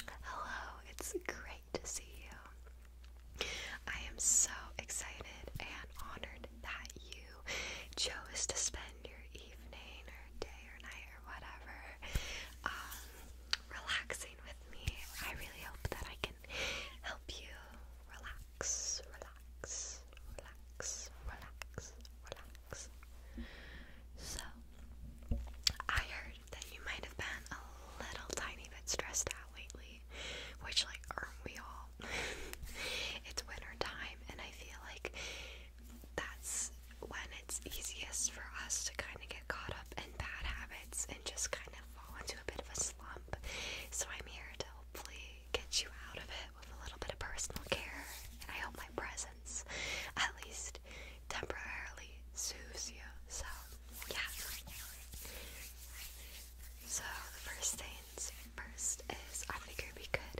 Hello, it's great to see you. I am so excited and honored that you chose to spend your evening or day or night or whatever um, relaxing with me. I really hope that I can help you relax, relax, relax, relax, relax. So, I heard that you might have been a little tiny bit stressed out lately, which, like, aren't we all? it's winter time, and I feel like that's when it's easiest for us to kind of get caught up in bad habits and just kind of fall into a bit of a slump. So, I'm here to hopefully get you out of it with a little bit of personal care, I hope my presence at least temporarily soothes you. So, yeah. So, the first things first is I figured we could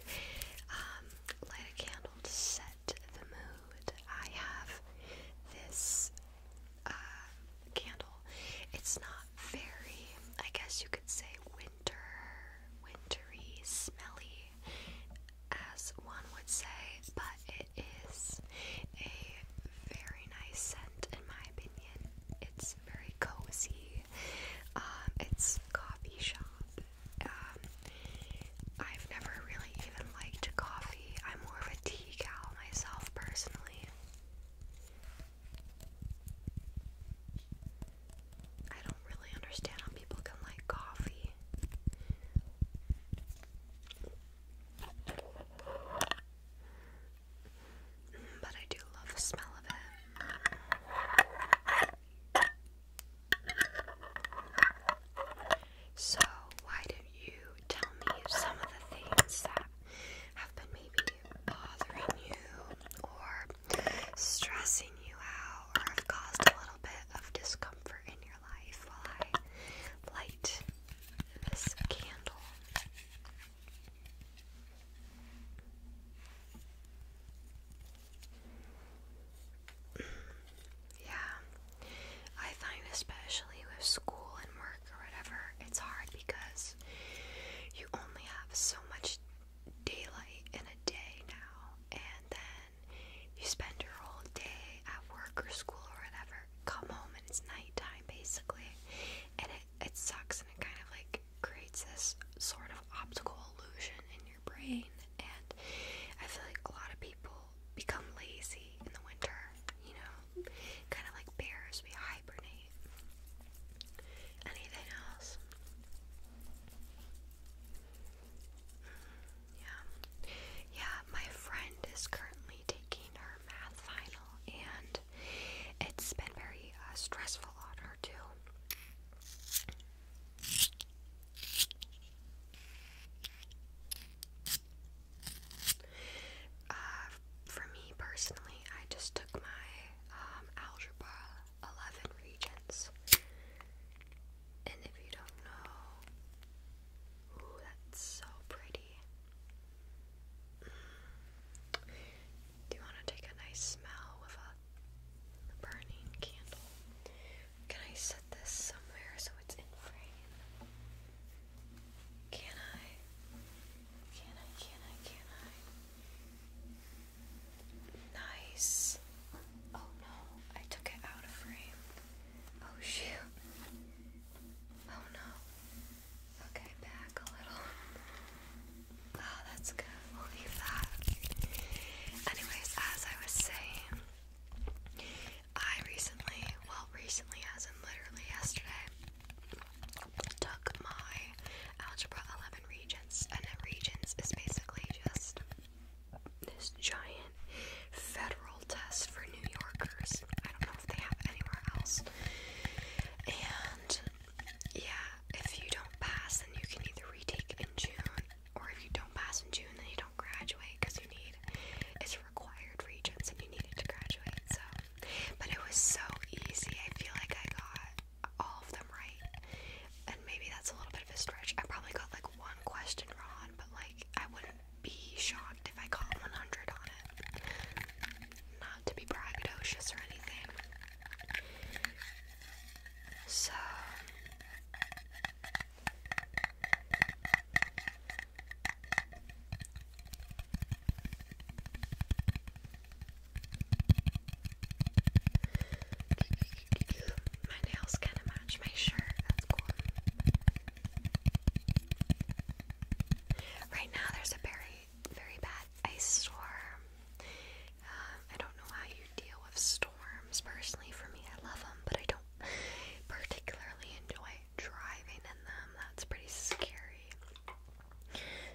um, light a candle to set the mood. I have this uh, candle. It's not very, I guess you could say, winter, smelly, as one would say, but it is a very nice scent in my opinion. It's very cozy. Um, it's coffee shop. Um, I've never really even liked coffee. I'm more of a tea gal myself personally. I don't really understand how people can like coffee. But I do love the smell of it. So, why don't you tell me some of the things that have been maybe bothering you or stressing you out or have caused a little bit of discomfort in your life while I light this candle. Yeah, I find especially with school and work or whatever, it's hard because you only have so much daylight in a day now, and then you spend your whole day at work or school or whatever, come home and it's nighttime basically, and it, it sucks and it kind of like creates this sort of optical illusion in your brain, and I feel like a lot of people become lazy in the winter, you know, kind of like bears, we hibernate. Anything else? Yeah. Yeah, my friend is currently taking her math final and it's been very uh, stressful on her too. Uh, for me personally, I just took my um, algebra 11 regions. And if you don't know, ooh, that's so pretty. Do you want to take a nice smell with a burning candle? Can I set this somewhere so it's in frame? Can I? Can I? Can I? Can I? Nice. Oh no, I took it out of frame. Oh shoot. Oh no. Okay, back a little. Oh, that's good. We'll leave that. Anyways, as I was saying, I recently, well, recently as in literally yesterday, took my Algebra 11 Regents, and Regents is basically just this giant federal test for New Yorkers. I don't know if they have anywhere else. And yeah, if you don't pass, then you can either retake in June, or if you don't pass in June, then you don't graduate because you need it's required regents and you needed to graduate. So, but it was so easy. I feel like I got all of them right. And maybe that's a little bit of a stretch. I probably got like one question wrong, but like I wouldn't be shocked if I got 100 on it. Not to be braggadocious or anything. So. My nails kind of match my shirt. That's cool. Right now, there's a very, very bad ice storm. Um, I don't know how you deal with storms. Personally, for me, I love them, but I don't particularly enjoy driving in them. That's pretty scary.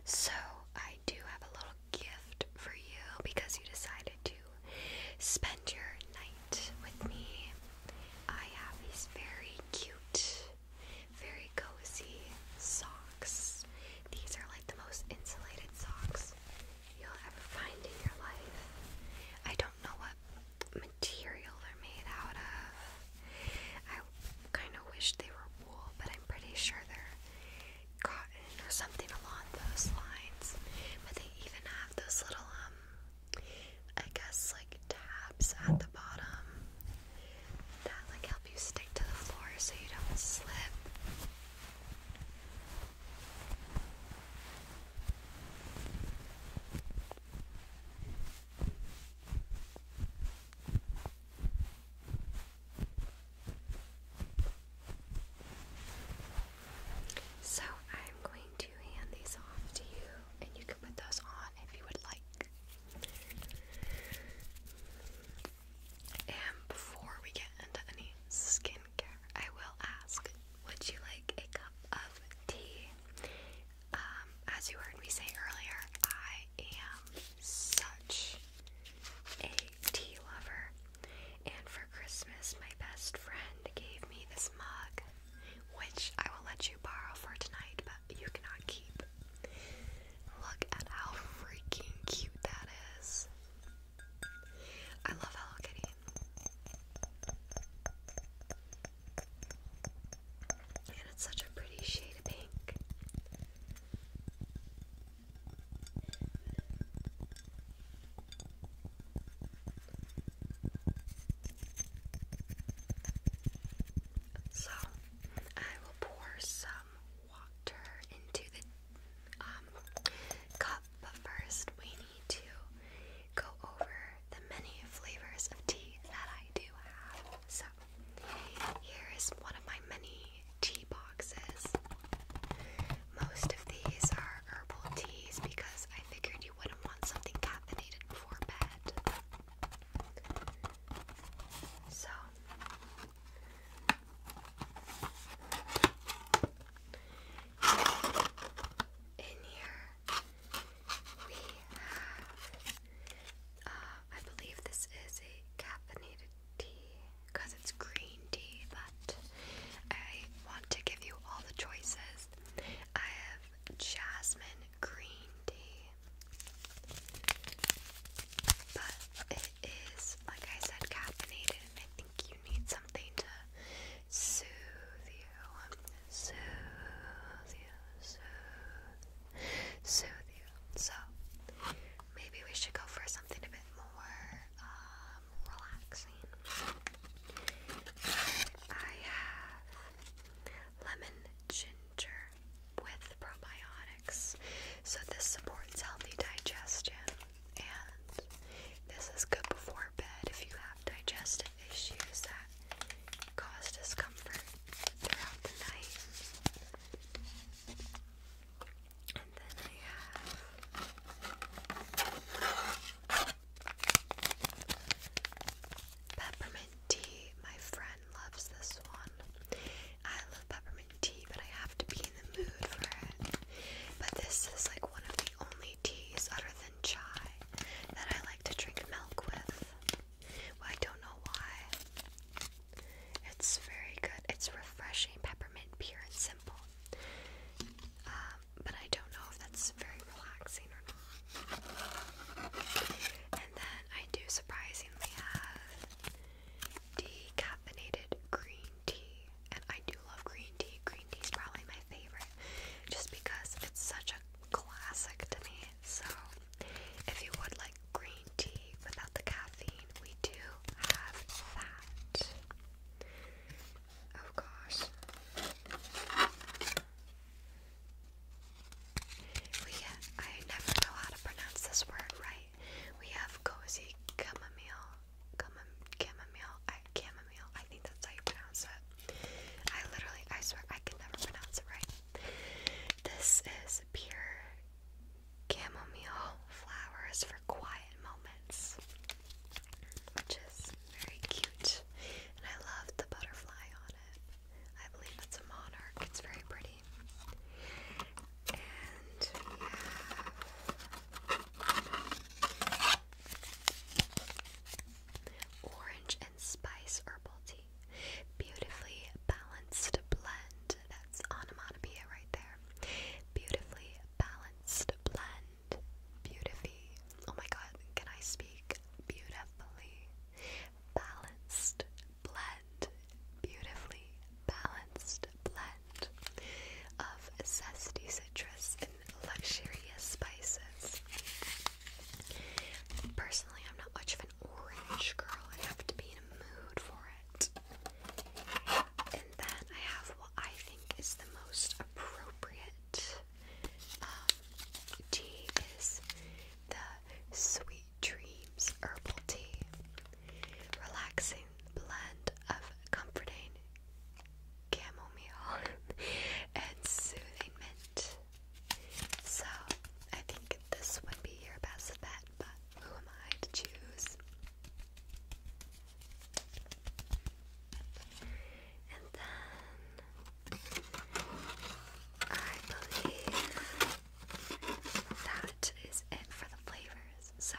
So, I do have a little gift for you because you decided to spend your night with me. I have these very cute, very cozy socks. These are like the most insulated socks you'll ever find in your life. I don't know what material they're made out of. I kind of wish they were wool, but I'm pretty sure they're cotton or something along those lines. But they even have those little, um, I guess, like tabs at the bottom that like help you stick to the floor so you don't slip. So I'm going to hand these off to you, and you can put those on if you would like. And before we get into any skincare, I will ask would you like a cup of tea? Um, as you heard me say earlier, I am such a tea lover. And for Christmas, my best friend gave me this mug, which I will let you borrow for tonight, but you cannot keep. Look at how freaking cute that is. I love Hello Kitty. And it's such a pretty shade of pink. So, I will pour some water into the um, cup, but first we need to go over the many flavors of tea that I do have. So, here is one of my many tea boxes. Most of these are herbal teas because I figured you wouldn't want something caffeinated before bed. So, in here we have, uh, I believe this is a caffeinated tea because it's green tea, but I want to give you all the choices. I have jasmine green tea, but it is, like I said, caffeinated, and I think you need something to soothe you. Soothe you, soothe, you. So maybe we should go for something a bit more um, relaxing. I have lemon ginger with probiotics. So this supports healthy digestion and this is good before bed if you have digestive issues that cause discomfort throughout the night. And then I have peppermint tea. My friend loves this one. I love peppermint tea, but I have to be in the mood for it. But this is like one of the only teas other than chai that I like to drink milk with. I don't know why. It's very good. It's refreshing peppermint pure and simple. Um, but I don't know if that's very relaxing And then I do surprisingly have decaffeinated green tea. And I do love green tea. Green tea is probably my favorite just because it's such a classic to me. So if you would like green tea without the caffeine, we do have that. Of course. We I never know how to pronounce this word right. We have cozy chamomile, chamom, chamomile, chamomile. I think that's how you pronounce it. I literally, I swear, I can never pronounce it right. This is pure chamomile flowers for quiet moments which is very cute. And I love the butterfly on it. I believe that's a monarch. It's very pretty. And we have orange and spice herbal tea. Beautifully balanced blend. That's onomatopoeia right there. Beautifully balanced blend. Beautify. Oh my god, can I speak? Beautifully balanced blend. Beautifully balanced blend of zesty citrus and luxurious spices. Personally, I'm not much of an orange girl. I have to be in a mood for it. And then I have what I think is the most appropriate. Um, tea is the Sweet Dreams Herbal Tea. Relaxing blend of comforting chamomile and soothing mint. So I think this would be your best bet, but who am I to choose? And then I believe that is it for the flavors. So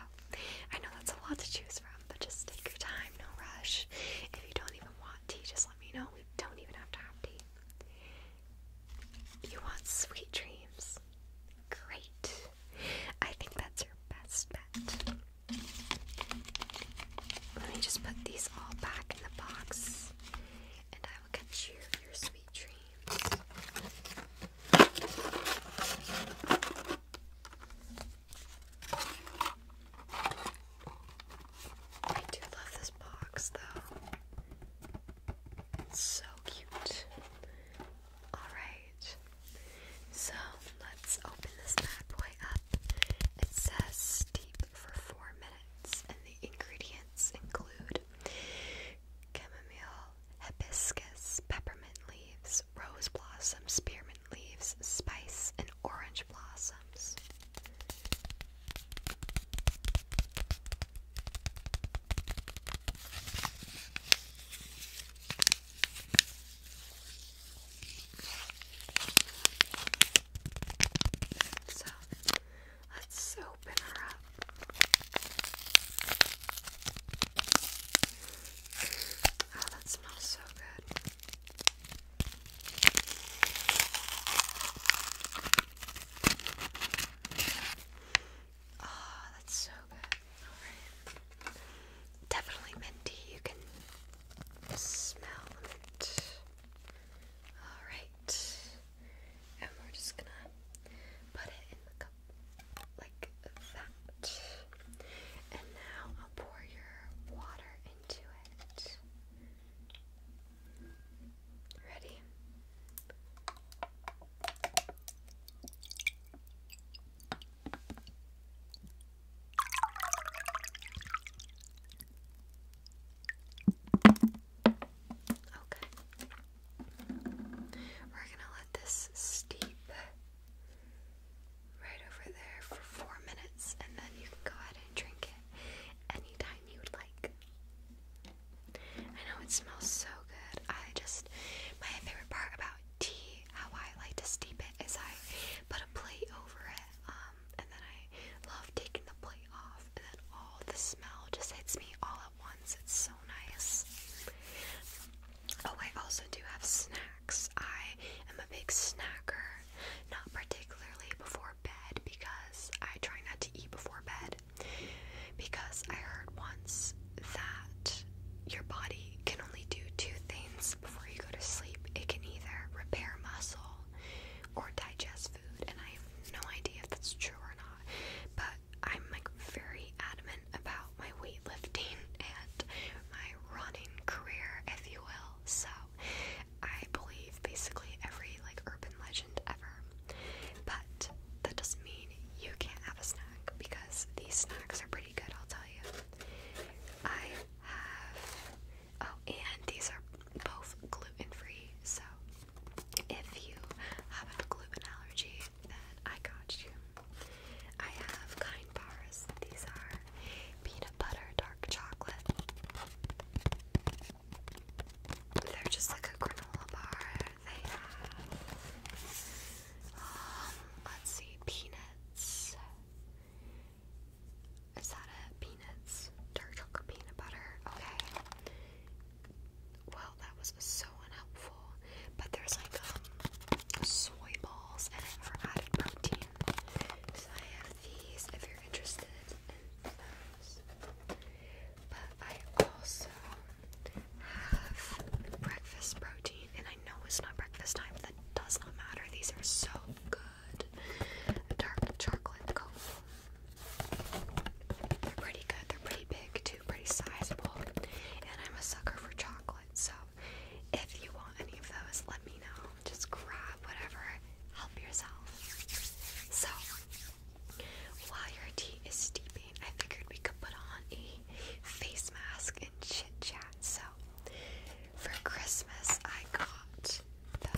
I know that's a lot to choose from, but just take your time, no rush. If you don't even want tea, just let me know. We don't even have to have tea. You want sweet dreams? Great. I think that's your best bet. Let me just put these all back in the box and I will get you your sweet dreams. I do love this box though. so cute. Alright, so let's open this bad boy up. It says steep for four minutes, and the ingredients include chamomile, hibiscus, peppermint leaves, rose blossoms, spearmint leaves, spice, and orange blossoms. So let's open her up. Oh, that smells so good. Oh, that's so good. Alright. Definitely minty. You can smell it. Alright. And we're just gonna put it in the cup like that. And now I'll pour your water into it. Ready? Okay. We're going to let this steep right over there for four minutes, and then you can go ahead and drink it anytime you would like. I know it smells so good. I just, my favorite part about tea how I like to steep it is I put a plate over it, um, and then I love taking the plate off, and then all the smell just hits me all at once. It's so nice. Oh, I also do have snacks. I am a big snacker, not particularly before bed because I try not to eat before bed. Because I heard once that your body can only do two things before you go to sleep it can either repair muscle or digest food, and I have no idea if that's true or not, but I'm like very adamant about my weightlifting and my running career, if you will. So I believe basically every like urban legend ever, but that doesn't mean you can't have a snack because these snacks are pretty good, I'll tell you. have, oh, and these are both gluten free, so if you have a gluten allergy, then I got you. I have kind bars, these are peanut butter, dark chocolate. They're just like a granola bar. They have um, let's see, peanuts. Is that it? Peanuts. Dark chocolate peanut butter. Okay. Well, that was so unhelpful. But there's like um soy balls in protein. So I have these if you're interested in those. But I also have breakfast protein, and I know it's not breakfast time, that does not matter. These are so good. Dark chocolate They're pretty good. They're pretty big too, pretty sizable. And I'm a sucker for chocolate, so if you want any of those, let me know. Just grab whatever. Help yourself. So while your tea is steeping, I figured we could put on a face mask chit chat. So for Christmas, I got the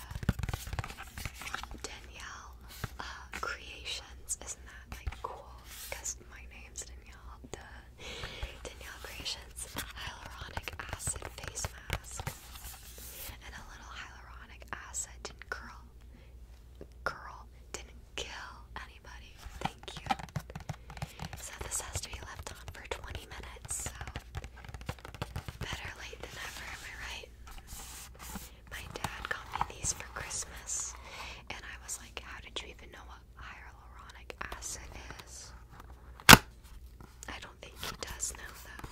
Danielle uh, Creations. Isn't that like cool? Because my name's Danielle. The Danielle Creations hyaluronic acid face mask and a little hyaluronic acid didn't curl, curl didn't kill anybody. Thank you. So this has to be left on for 20 minutes, so better late than ever, am I right? My dad got me these for Christmas, and I was like, how did you even know what hyaluronic acid is? I don't think he does know though.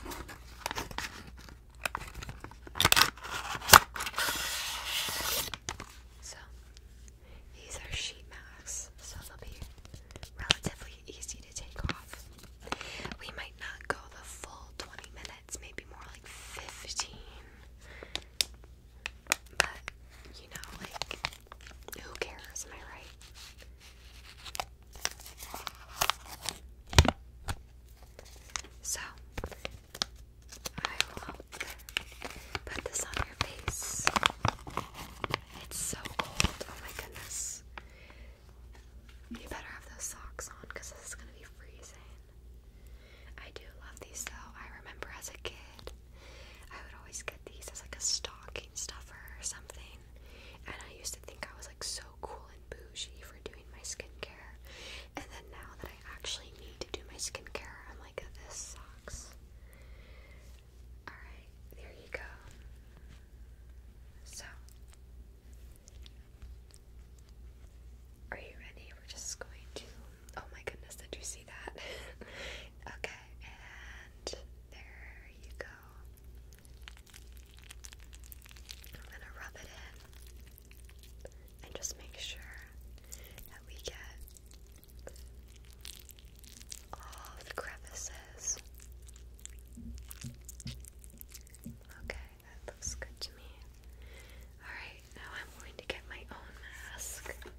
So, these are sheet masks, so they'll be relatively easy to take off. We might not go the full 20 minutes, maybe more like 15. But, you know, like, who cares, am I right? So, I will Put this on your face. It's so cold. Oh my goodness. You better have those socks on because this going to be freezing. I do love these though. I remember as a kid, I would always get these as like a stocking stuffer or something. And I used to think I was like so cool and bougie for doing my skincare. And then now that I actually need to do my skincare, I'm like, this Alright, there you go. So, are you ready? We're just going to. Oh my goodness, did you see that? okay, and there you go. I'm gonna rub it in and just make sure that we get all the crevices. Okay, that looks good to me. Alright, now I'm going to get my own mask. Okay.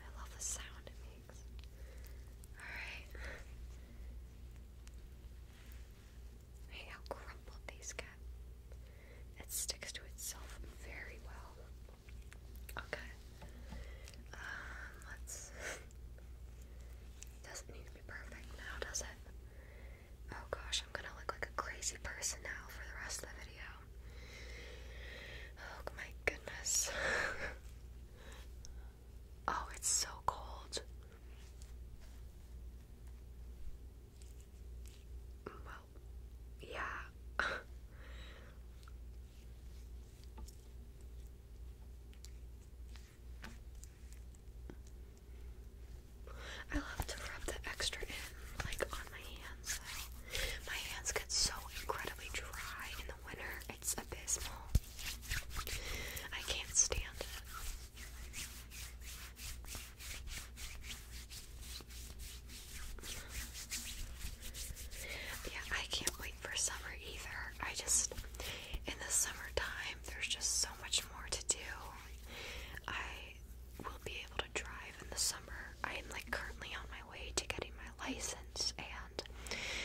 I love the sound it makes. Alright. Hey, how crumpled these get. It sticks to itself very well. Okay. Um, let's. Doesn't need to be perfect now, does it? Oh gosh, I'm gonna look like a crazy person now for the rest of the video. Oh my goodness. Oh, it's so cold. Well, yeah. I love to rub the extra in, like on my hands. My hands get so incredibly dry in winter. It's abysmal. I can't stand it. Yeah, I can't wait for summer either. I just, in the summertime, there's just so much more to do. I will be able to drive in the summer. I am like currently on my way to getting my license, and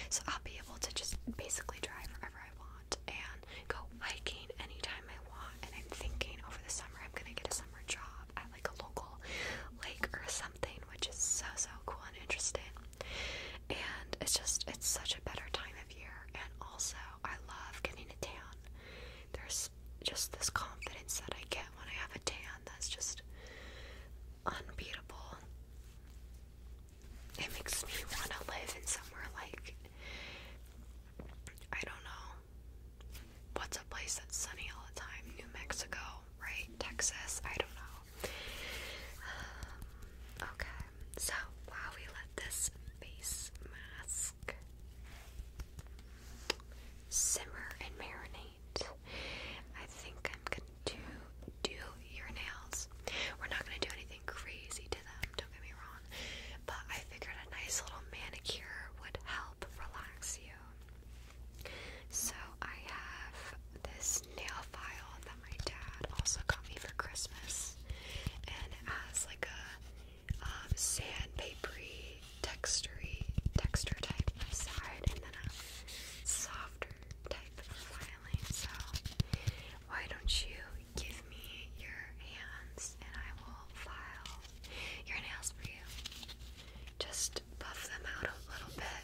so I'll be able to just basically drive wherever I want and go hiking anytime I want. And I'm thinking over the summer I'm gonna get a summer job at like a local lake or something, which is so so cool and interesting. And it's just it's such a better time of year, and also I love getting a tan. There's just this confidence that I get when I have a tan that's just unbeatable. It makes me want to live in somewhere like I don't know. What's a place that's sunny all the time? New Mexico, right? Texas? I don't know. Um, okay, so while we let this face mask simmer and marinate I think I'm gonna do your nails. We're not gonna do anything crazy to them, don't get me wrong. But I figured a nice little manicure would help relax you. So I have this nail file that my dad also got me for Christmas, and it has like a um, sandpapery, textury, texture type on side, and then a softer type filing, so why don't you give me your hands and I will file your nails for you. Just buff them out a little bit.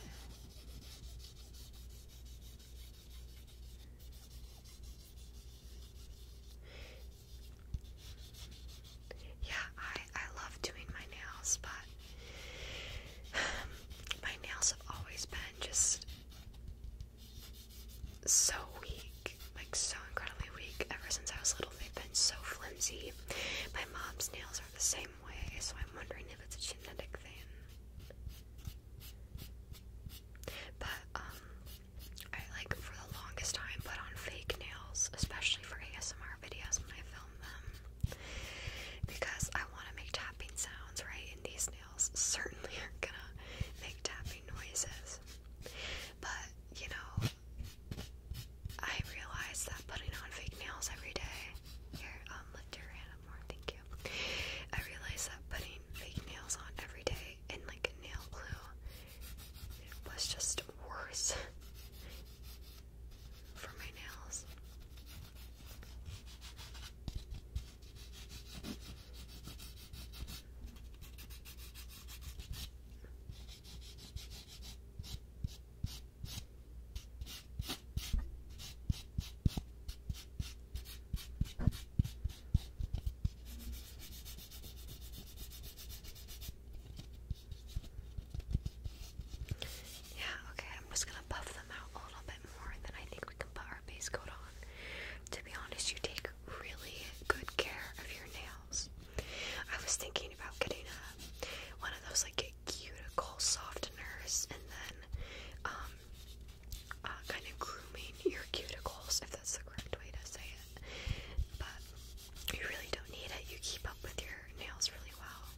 Yeah, I I love doing my nails, but My nails have always been just so weak, like so incredibly weak. Ever since I was little, they've been so flimsy. My mom's nails are the same way, so I'm wondering if it's a genetic thing. But, um, I like for the longest time put on fake nails, especially for ASMR videos when I film because I want to make tapping sounds, right? And these nails certainly are gonna make tapping noises. But you know, I realized that putting on fake nails every day. Here, lift your hand more. Thank you. I realized that putting fake nails on every day in like nail glue was just worse for my nails. Yeah, okay, I'm just gonna buff them out a little bit more and then I think we can put our base coat on. To be honest, you take really good care of your nails. I was thinking about getting a, one of those like cuticle softeners and then um, uh, kind of grooming your cuticles, if that's the correct way to say it. But you really don't need it. You keep up with your nails really well.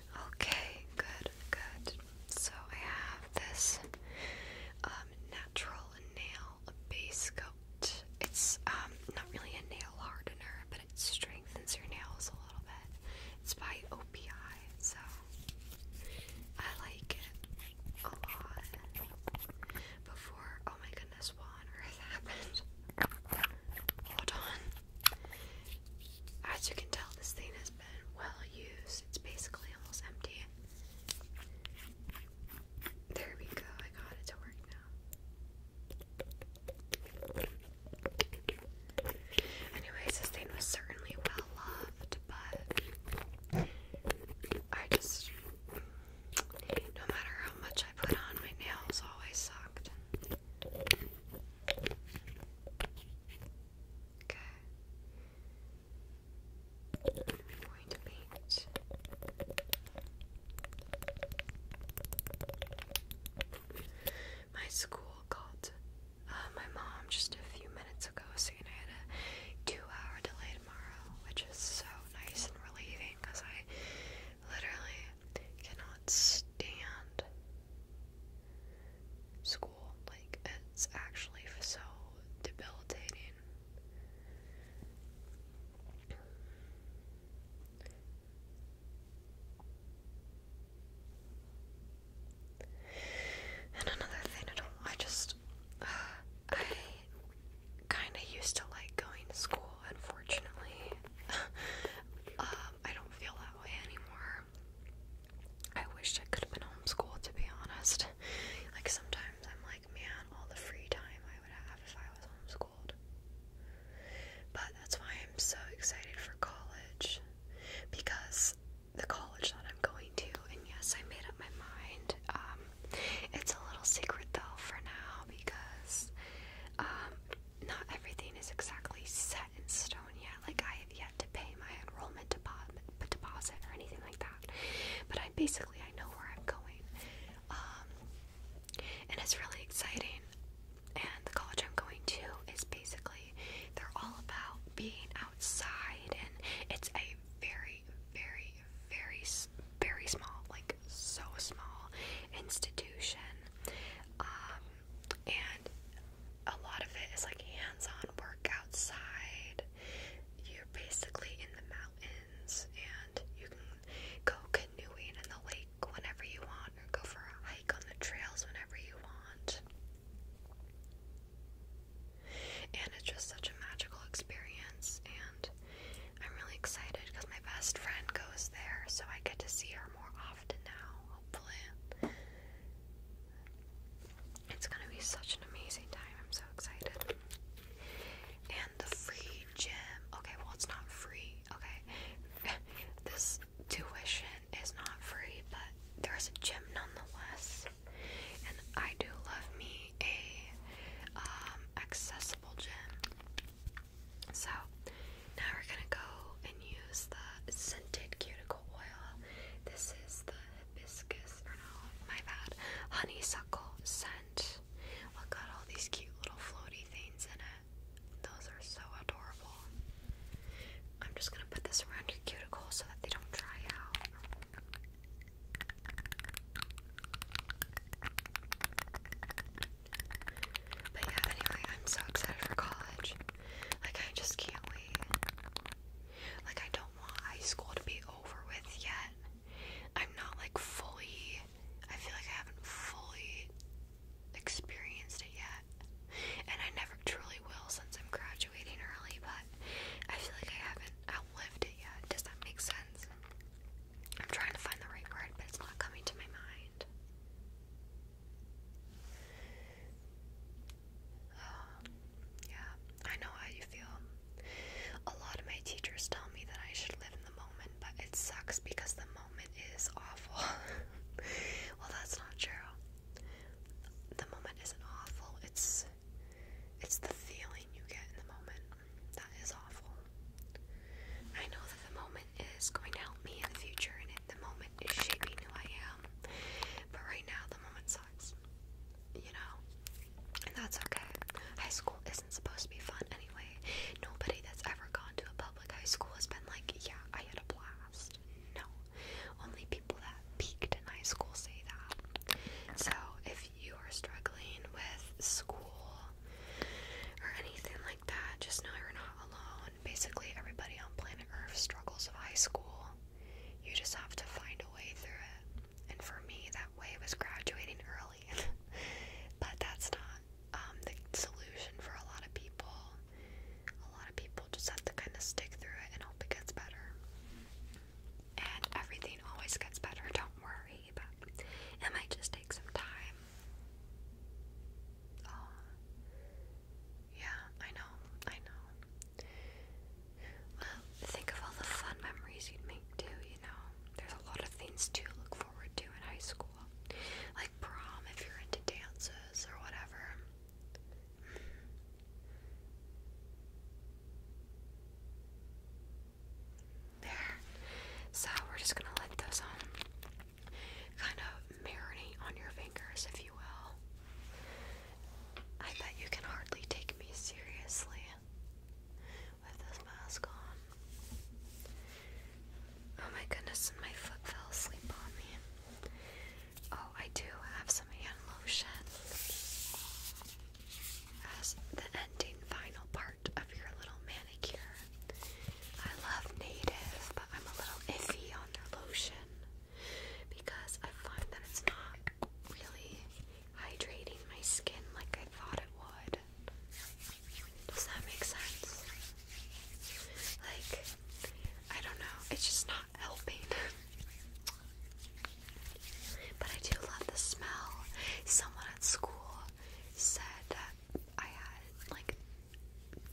Okay, good, good. So I have this um, natural nail base coat. It's um, not really a nail hardener, but it strengthens your nails a little bit. It's by OPI, so I like it a lot. Before, oh my goodness, what on earth happened? Hold on. As you can tell, this thing has been well used. It's basically almost empty. There we go. I got it to work now. Anyways, this thing was certainly well loved, but I just, no matter how much I put on, my nails always sucked. Okay. I'm going to paint. My school called uh, my mom just a few minutes ago saying I had a two hour delay tomorrow, which is so nice and relieving because I literally cannot stand school. Like, it's actually so debilitating. And another thing, I don't, I just, uh, I kind of used to like going to school, unfortunately. um, I don't feel that way anymore. I wish I could have been homeschooled to be honest. Like sometimes I'm like, man, all the free time I would have if I was homeschooled. But that's why I'm so excited for college because the college that I'm going to, and yes, I made up my mind. Um, it's a little secret though for now because um, not everything is exactly set in stone yet. Like I have yet to pay my enrollment deposit, or anything like that. But I basically I know where I'm going, um, and it's really exciting. And the college I'm going to is basically they're all about being outside, and it's a very, very, very, very small, like so small institution. Um, and a lot of it is like hands-on work outside. You're basically in the mountains, and you can go canoeing in the lake whenever you want, or go for a hike on the trails whenever you want. And it's just such a magical experience, and I'm really excited because my best friend goes there, so I get to see her more often now, hopefully. It's gonna be such an amazing time. I'm so excited. And the free gym. Okay, well, it's not free. Okay, this tuition is not free, but there's a gym nonetheless. And I do love me a um, accessible gym. So now we're gonna go and use the scented cuticle oil. This is the hibiscus, no, my bad, honeysuckle scent. Look at all these cute little floaty things in it. Those are so adorable. I'm just gonna put this around your cuticle so that they don't dry out. But yeah, anyway, I'm so excited for college. Like, I just can't wait. Like, I don't want high school to be over with yet. I'm not like fully, I feel like I haven't fully experienced it yet. And I never truly will since I'm graduating early, but I feel like I haven't outlived it yet. Does that make sense? I'm trying to find the right word, but it's not coming to my mind. Um, yeah, I know how you feel. A lot of my teachers tell me that I should live in the moment, but it sucks because the moment is awful. well, that's not true. The moment isn't awful. It's it's the feeling you get in the moment that is awful. I know that the moment is going to help me in the future, and the moment is shaping who I am. But right now, the moment sucks. You know? And that's okay. High school isn't supposed to be fun anyway. Nobody that's ever gone to a public high school has been like, yeah, I had a blast. No. Only people that peaked in high school say that. So if you are struggling with school or anything like that, just know you're not alone. Basically, everybody on planet Earth struggles with high school. You just have to find a way through it. And for me, that way was graduating early. but that's not um, the solution for a lot of people. A lot of people just have to kind of stick through it and hope it gets better. And everything always gets better, don't worry. But it might just take some time. Um, yeah, I know, I know. Well, think of all the fun memories you'd make too, you know. There's a lot of things to look forward to in high school. Like prom if you're into dances or whatever. There. So we're just gonna let those on kind of marinate on your fingers, if you will. I bet you can hardly take me seriously with this mask on. Oh my goodness, my foot fell asleep on me. Oh, I do have some hand lotion as the ending final part of your little manicure. I love native, but I'm a little iffy on their lotion because I find that it's not really hydrating my skin like I thought it would. Does that make sense? Like, I don't know, it's just not helping. but I do love the smell. Someone at school said that I had like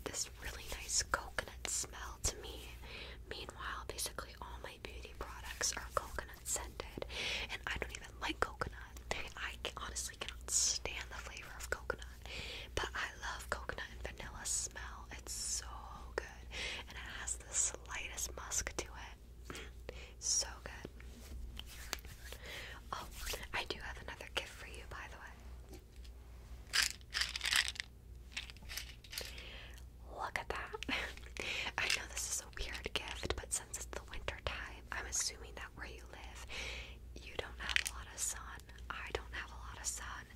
this really nice coconut smell to me. Meanwhile, basically all my beauty products are coconut scented, and I don't even like coconut. I honestly cannot stand the flavor of coconut, but I love coconut and vanilla smell. It's so good, and it has the slightest musk to it. so good. Oh, I do have another gift for you, by the way. Look at that. I know this is a weird gift, but since it's the winter time, I'm assuming that where you live, you don't have a lot of sun. I don't have a lot of sun,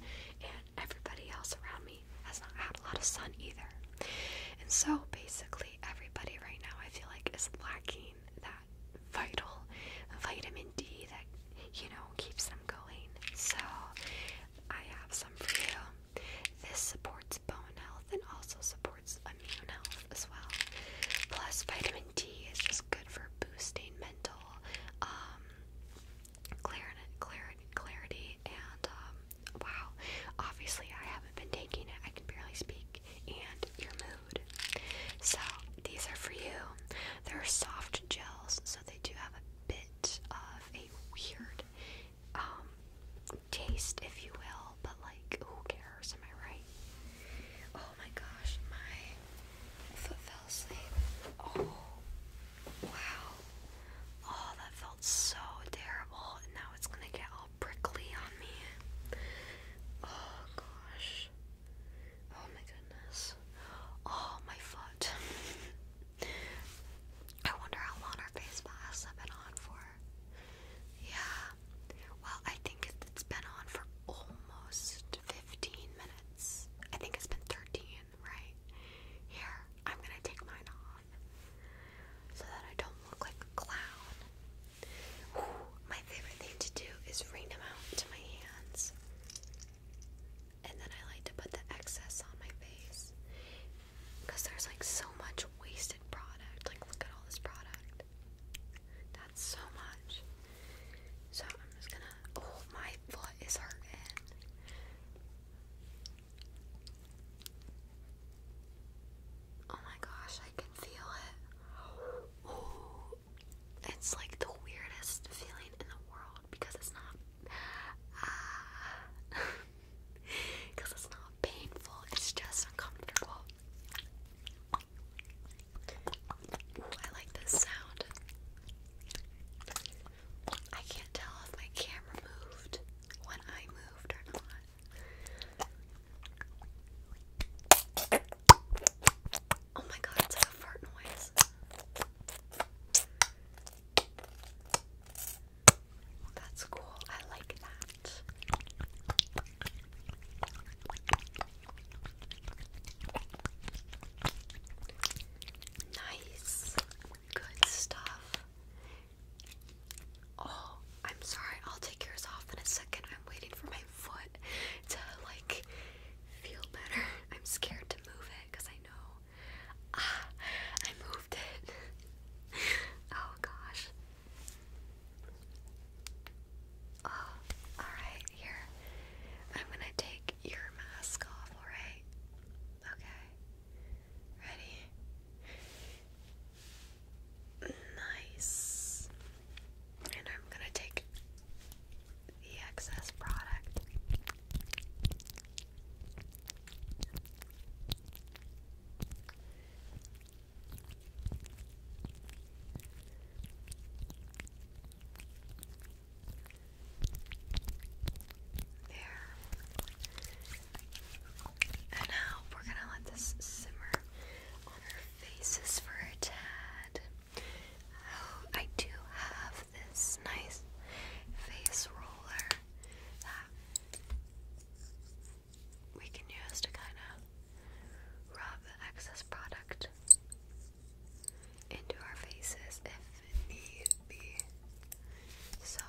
and everybody else around me has not had a lot of sun either. And so basically, everybody right now, I feel like, is lacking that vital vitamin D that you know, keeps them going. So I have some for you. This supports bone health and also supports immune health as well. Plus, vitamin D is just good for boosting mental um, clarity, clarity, and um, wow, obviously I haven't been taking it. I can barely speak. And your mood. So these are for you. They're soft gels, so they do have a bit of a weird um, taste, if you will, but like, who cares? Am I right? Oh my gosh, my foot fell asleep. Oh, wow. Oh, that felt so terrible, now it's gonna get all prickly on me. Oh gosh. Oh my goodness. Oh, my foot. I wonder how long our face masks have been on for. Yeah. Well, I think it's been on for almost 15 minutes. I think it's been 13, right? Here, I'm gonna take mine off so that I don't look like a clown. my favorite thing to do is wring them out into my hands. And then I like to put the excess on my face because there's like so much wasted product. Like, look at all this product. That's so much. So I'm just gonna. Oh, my foot is hurting. Oh my gosh, I can feel it. Oh, it's like the weirdest feeling in the world because it's not uh, because it's not painful, it's just uncomfortable. I like this sound. I can't tell if my camera moved when I moved or not. Oh my god, it's like a fart noise. That's cool. I like that. Nice. Good stuff. Oh, I'm sorry. I'll take yours off in a second. I'm waiting for my foot to like feel better. I'm scared to move it because I know. Ah, I moved it. oh gosh. Oh, alright, here. I'm gonna take your mask off, alright? Okay. Ready? Nice. And I'm gonna take the excess product. There. And now we're going to let this simmer on our faces for a tad. I do have this nice face roller that we can use to kind of rub excess product into our faces if need be. So,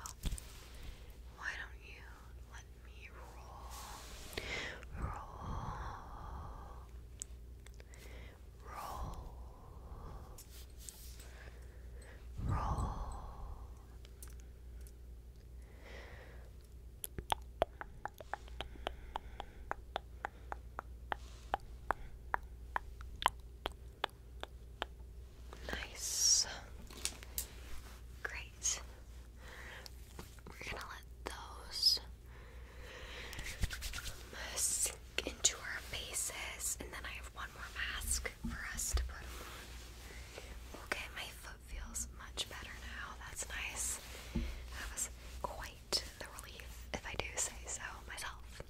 why don't you let me roll? Roll roll, roll. Nice. Great. We're going to let those into our faces, and then I have one more mask for us to put on. Okay, my foot feels much better now. That's nice. That was quite the relief, if I do say so myself.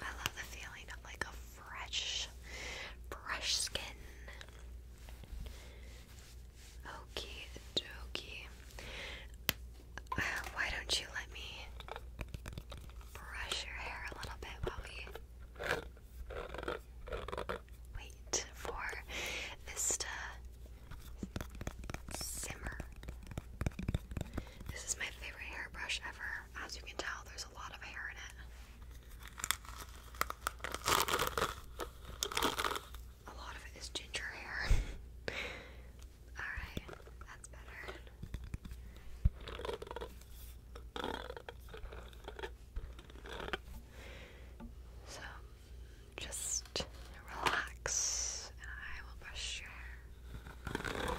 I love the feeling of like a fresh, fresh skin. Okie dokie. Uh, why don't you let me brush your hair a little bit while we wait for this to simmer? This is my favorite hairbrush ever. As you can tell, there's a lot of hair in it a lot of it is ginger hair. Alright, that's better. So, just relax I will brush your hair.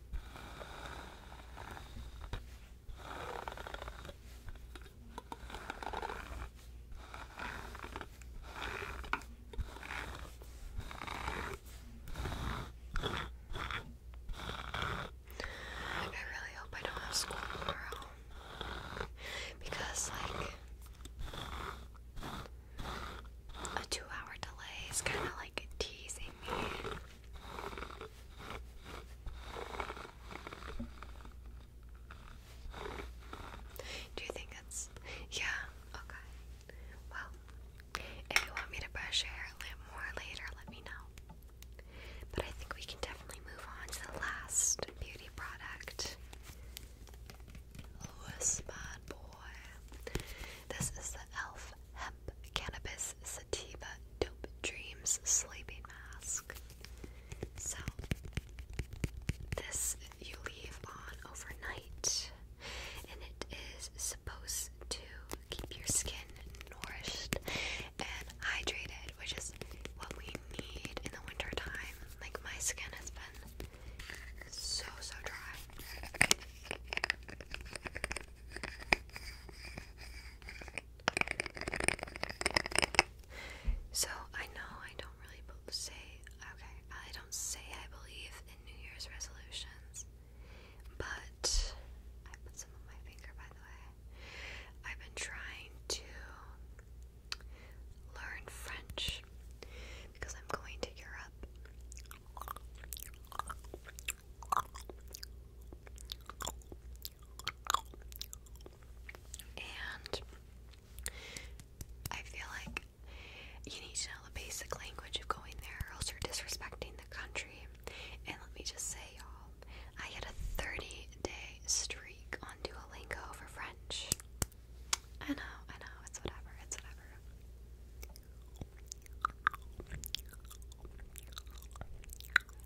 I really hope I don't have school tomorrow. Because, like, a two hour delay is kind of like teasing me. Do you think it's yeah, okay. Well, if you want me to brush your hair a little more later, let me know. But I think we can definitely move on to the last beauty product. Louis Bad Boy. This is the e.l.f. Hemp Cannabis Sativa Dope Dreams Sleeping Mask. So, this you leave on overnight, and it is supposed to keep your skin nourished and hydrated, which is what we need in the winter time. Like, my skin has been so, so dry. So I know I don't really say, okay, I don't say I believe in New Year's resolutions, but I put some on my finger by the way. I've been trying to learn French because I'm going to Europe and I feel like you need to know the basic language of going there, or else you're disrespecting the country. And let me just say, y'all, I had a 30 day streak on Duolingo for French. I know, I know, it's whatever, it's whatever.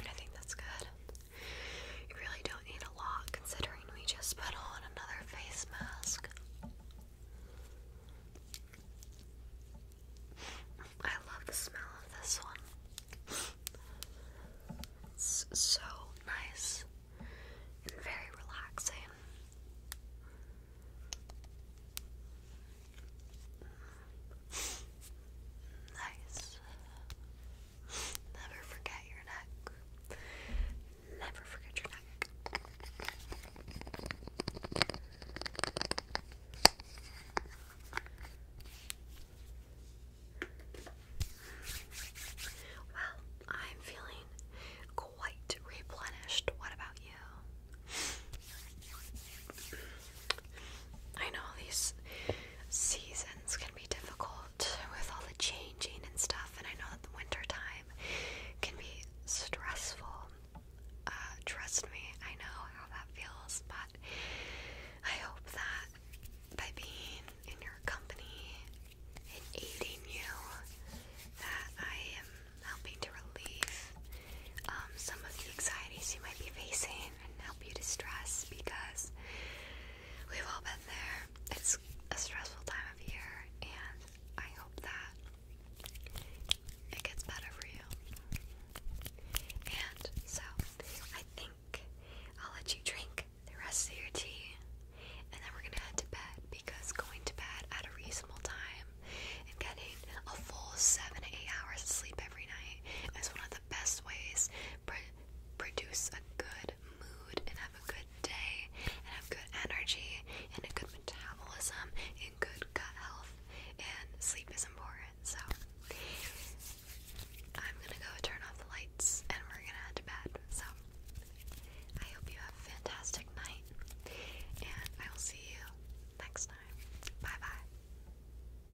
I think that's good. You really don't need a lot considering we just put on another face mask. I love the smell of this one. It's so nice and very relaxing. Nice. Never forget your neck. Never forget your neck. Well, I'm feeling quite replenished. What about you? I know these seasons can be difficult with all the changing and stuff, and I know that the wintertime can be stressful. Uh, trust me, I know how that feels, but I hope that by being in your company and aiding you, that I am helping to relieve um, some of the anxieties you might be facing and help you to stress because we've all been there. It's a stressful time of year, and I hope that it gets better for you. And so, I think I'll let you drink the rest of your tea, and then we're gonna head to bed because going to bed at a reasonable time and getting a full seven eight hours of sleep every night is one of the best ways pr produce a good mood and have a good day and have good energy and a good metabolism and good gut health and sleep is important. So I'm gonna go turn off the lights and we're gonna head to bed. So I hope you have a fantastic night and I will see you next time. Bye bye.